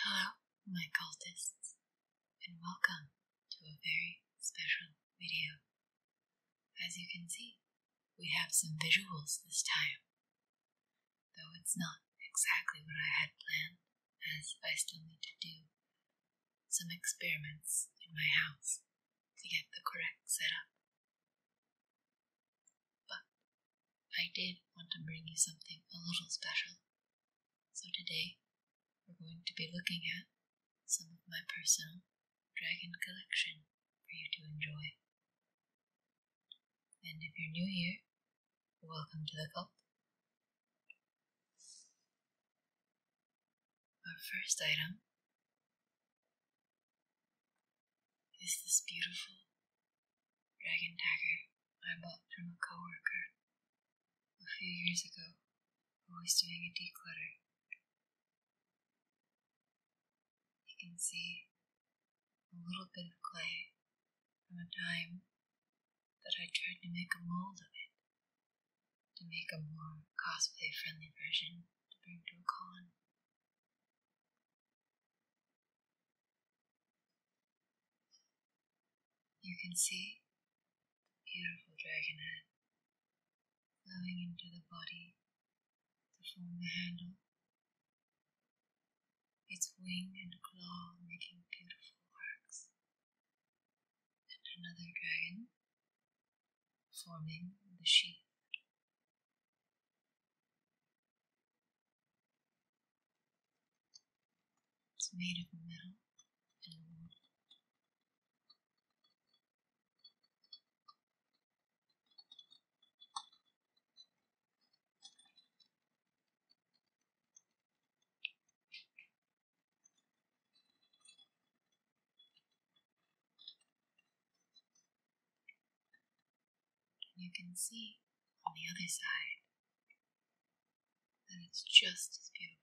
Hello, my cultists, and welcome to a very special video. As you can see, we have some visuals this time, though it's not exactly what I had planned, as I still need to do some experiments in my house to get the correct setup. But I did want to bring you something a little special. So today we're going to be looking at some of my personal dragon collection for you to enjoy. And if you're new here, welcome to the club. Our first item is this beautiful dragon dagger I bought from a coworker a few years ago who was doing a declutter. You can see a little bit of clay from a time that I tried to make a mold of it to make a more cosplay friendly version to bring to a con. You can see the beautiful dragon head flowing into the body to form the handle, its wing and claw making beautiful arcs, and another dragon forming the sheath. It's made of metal and wood. You can see on the other side that it's just as beautiful.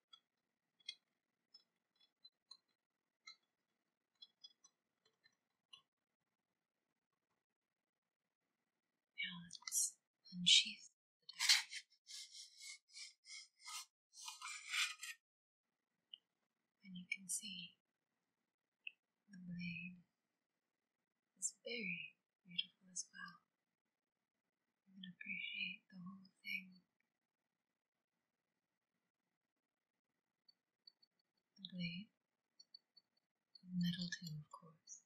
Now let's And you can see the blade is very beautiful as well. You can appreciate the whole thing the blade, and metal too, of course.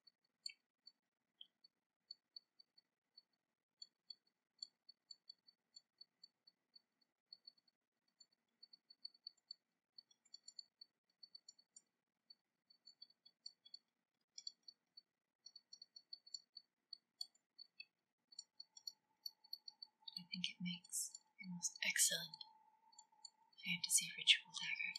I think it makes the most excellent fantasy ritual dagger.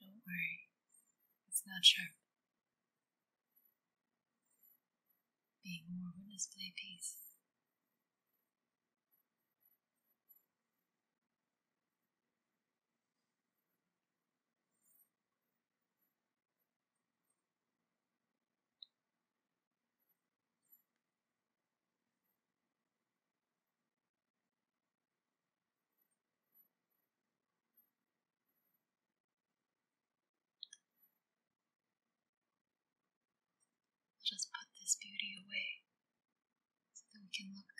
Don't worry, it's not sharp. Being more witness play piece. Let us put this beauty away so that we can look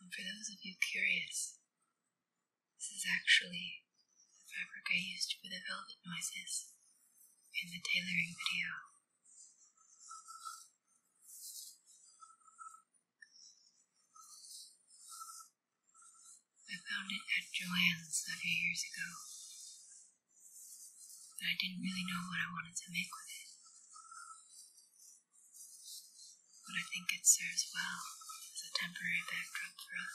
and for those of you curious, this is actually the fabric I used for the velvet noises in the tailoring video. I found it at Joann's a few years ago but I didn't really know what I wanted to make with it. But I think it serves well as a temporary backdrop for us.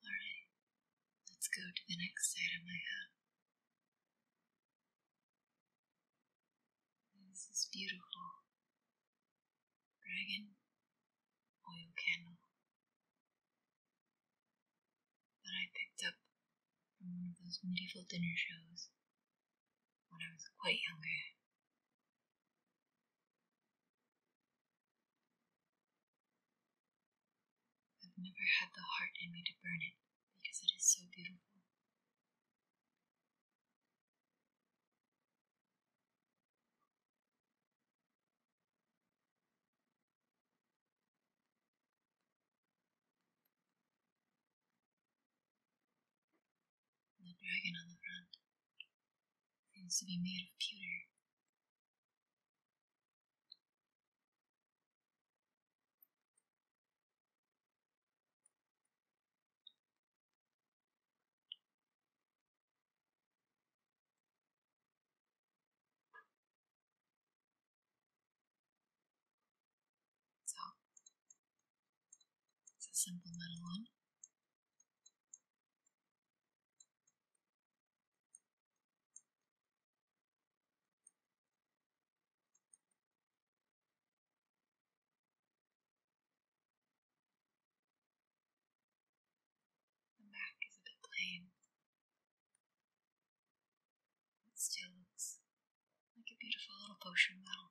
Alright, let's go to the next side of my have. This is beautiful dragon oil candle that I picked up from one of those medieval dinner shows when I was quite younger. I've never had the heart in me to burn it because it is so beautiful the dragon on the front seems to be made of pewter. So it's a simple little one. The back is a bit plain. still looks like a beautiful little potion bottle.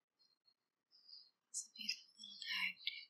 It's a beautiful little tag, too.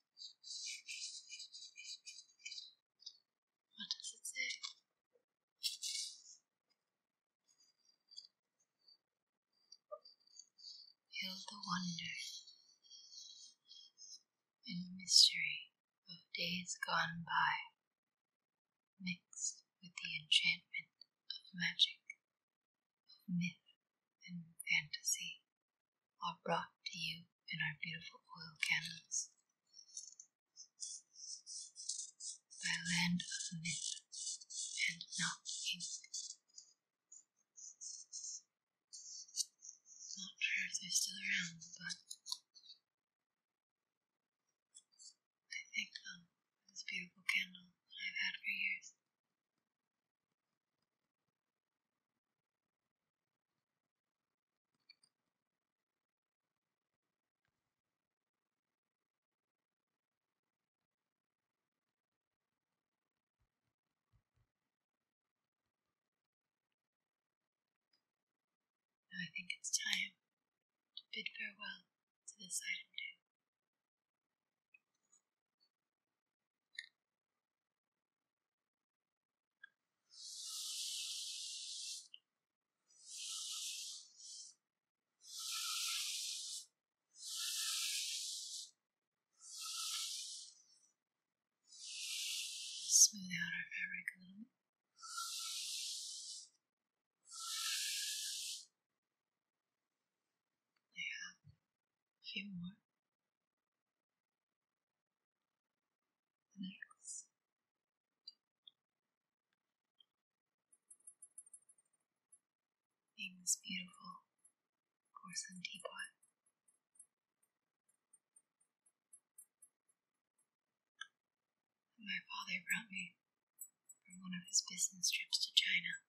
What does it say? Feel the wonder and mystery of days gone by, mixed with the enchantment of magic, of myth and fantasy are brought to you in our beautiful oil candles. By land of myth and not ink. Not sure if they're still around, but I think them um, this beautiful candle I've had for years. Now I think it's time to bid farewell to this item too. Smooth out our fabric a little bit. a few more this beautiful porcelain teapot. my father brought me from one of his business trips to China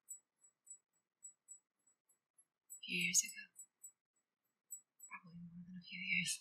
a few years ago. Probably more than a few years.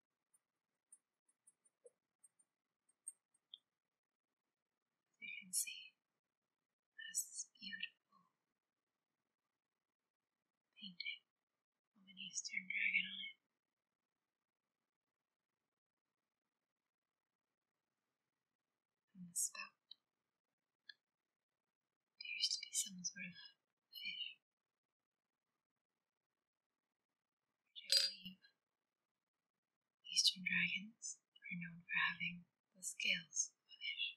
So you can see there's this beautiful painting of an eastern dragon on it. From the spout, appears to be some sort of fish. I believe Eastern dragons are known for having the scales of fish.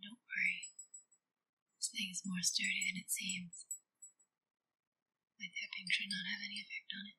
Don't worry, this thing is more sturdy than it seems. My tapping should not have any effect on it.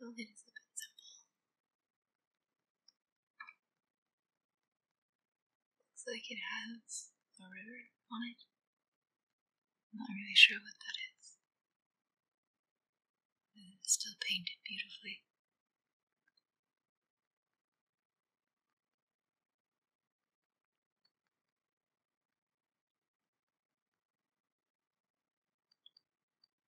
It is a bit simple. Looks like it has a river on it. I'm not really sure what that is. But it's still painted beautifully.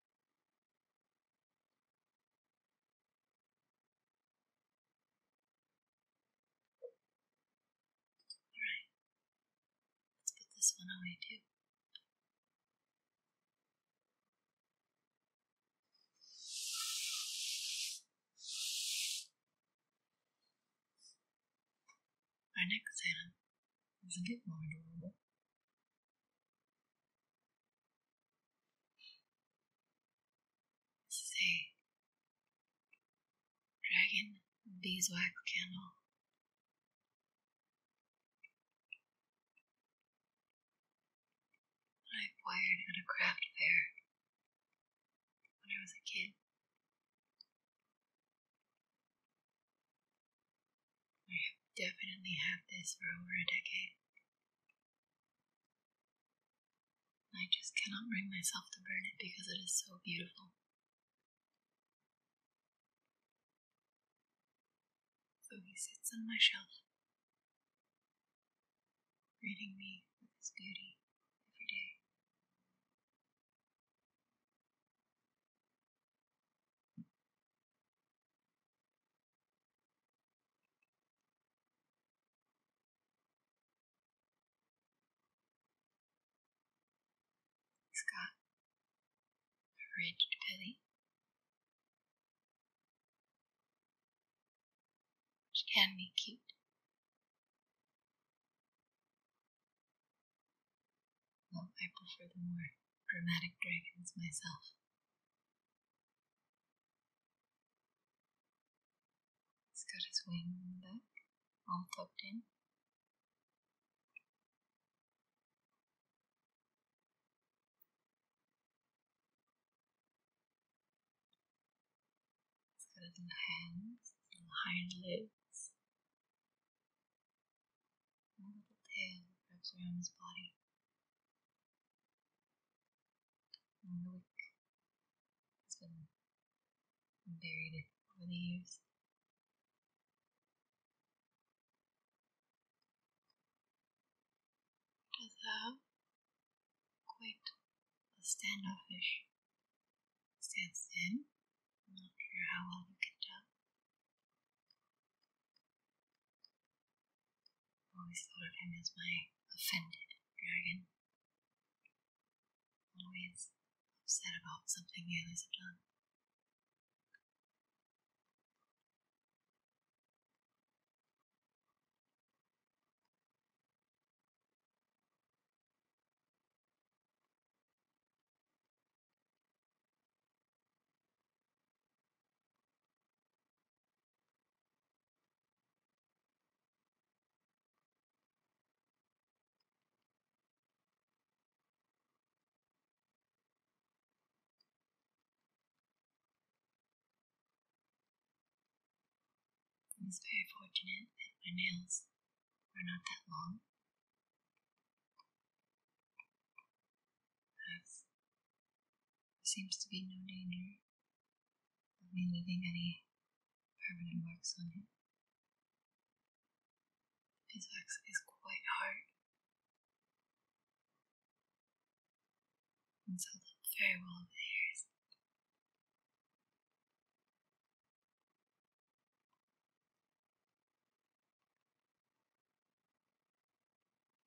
Alright, let's put this one away too. Our next item is a bit more adorable. This dragon beeswax candle. I acquired at a craft fair when I was a kid. I definitely have this for over a decade. I just cannot bring myself to burn it because it is so beautiful. So he sits on my shelf, greeting me with his beauty every day. It's got a ridged belly, which can be cute. Though I prefer the more dramatic dragons myself. He's got his wings on the back, all tucked in. He's got his little hands, little hind legs, and a little tail wraps around his body the wick has been varied over the years. Does have quite a standoffish stance in. I'm not sure how well you can tell. I've always thought of him as my offended dragon. Always upset about something the others have done. It is very fortunate that my nails are not that long. As there seems to be no danger of me leaving any permanent marks on him. His wax is quite hard and held up very well over the years.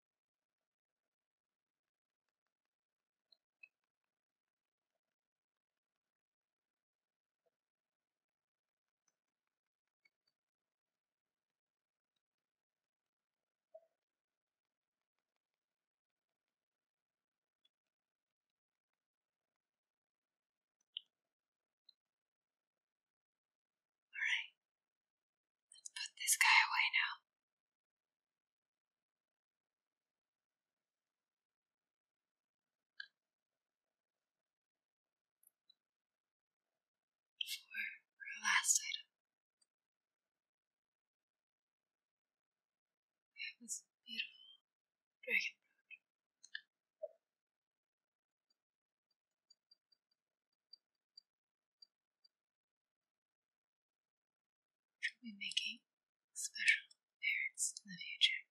All right, let's put this guy away now. For our last item, we have this beautiful dragon fruit we will be making special parents in the future.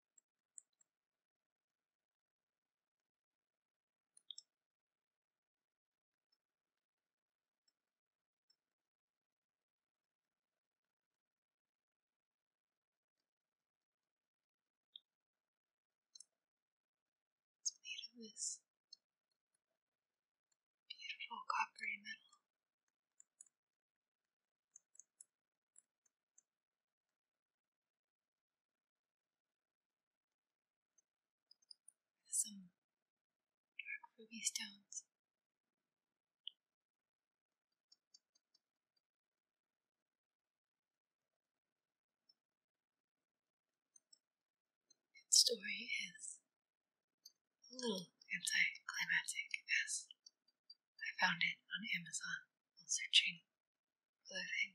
It's made of this beautiful coppery metal. With some dark ruby stones. Its story is a little anticlimactic as I found it on Amazon while searching for other things.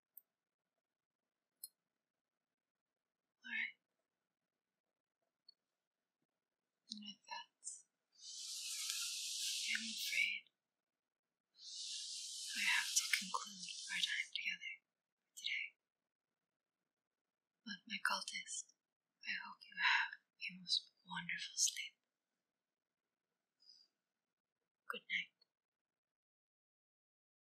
All right. And with that, I'm afraid I have to conclude our time together today. But my cultist, I hope you have a most wonderful sleep. Good night.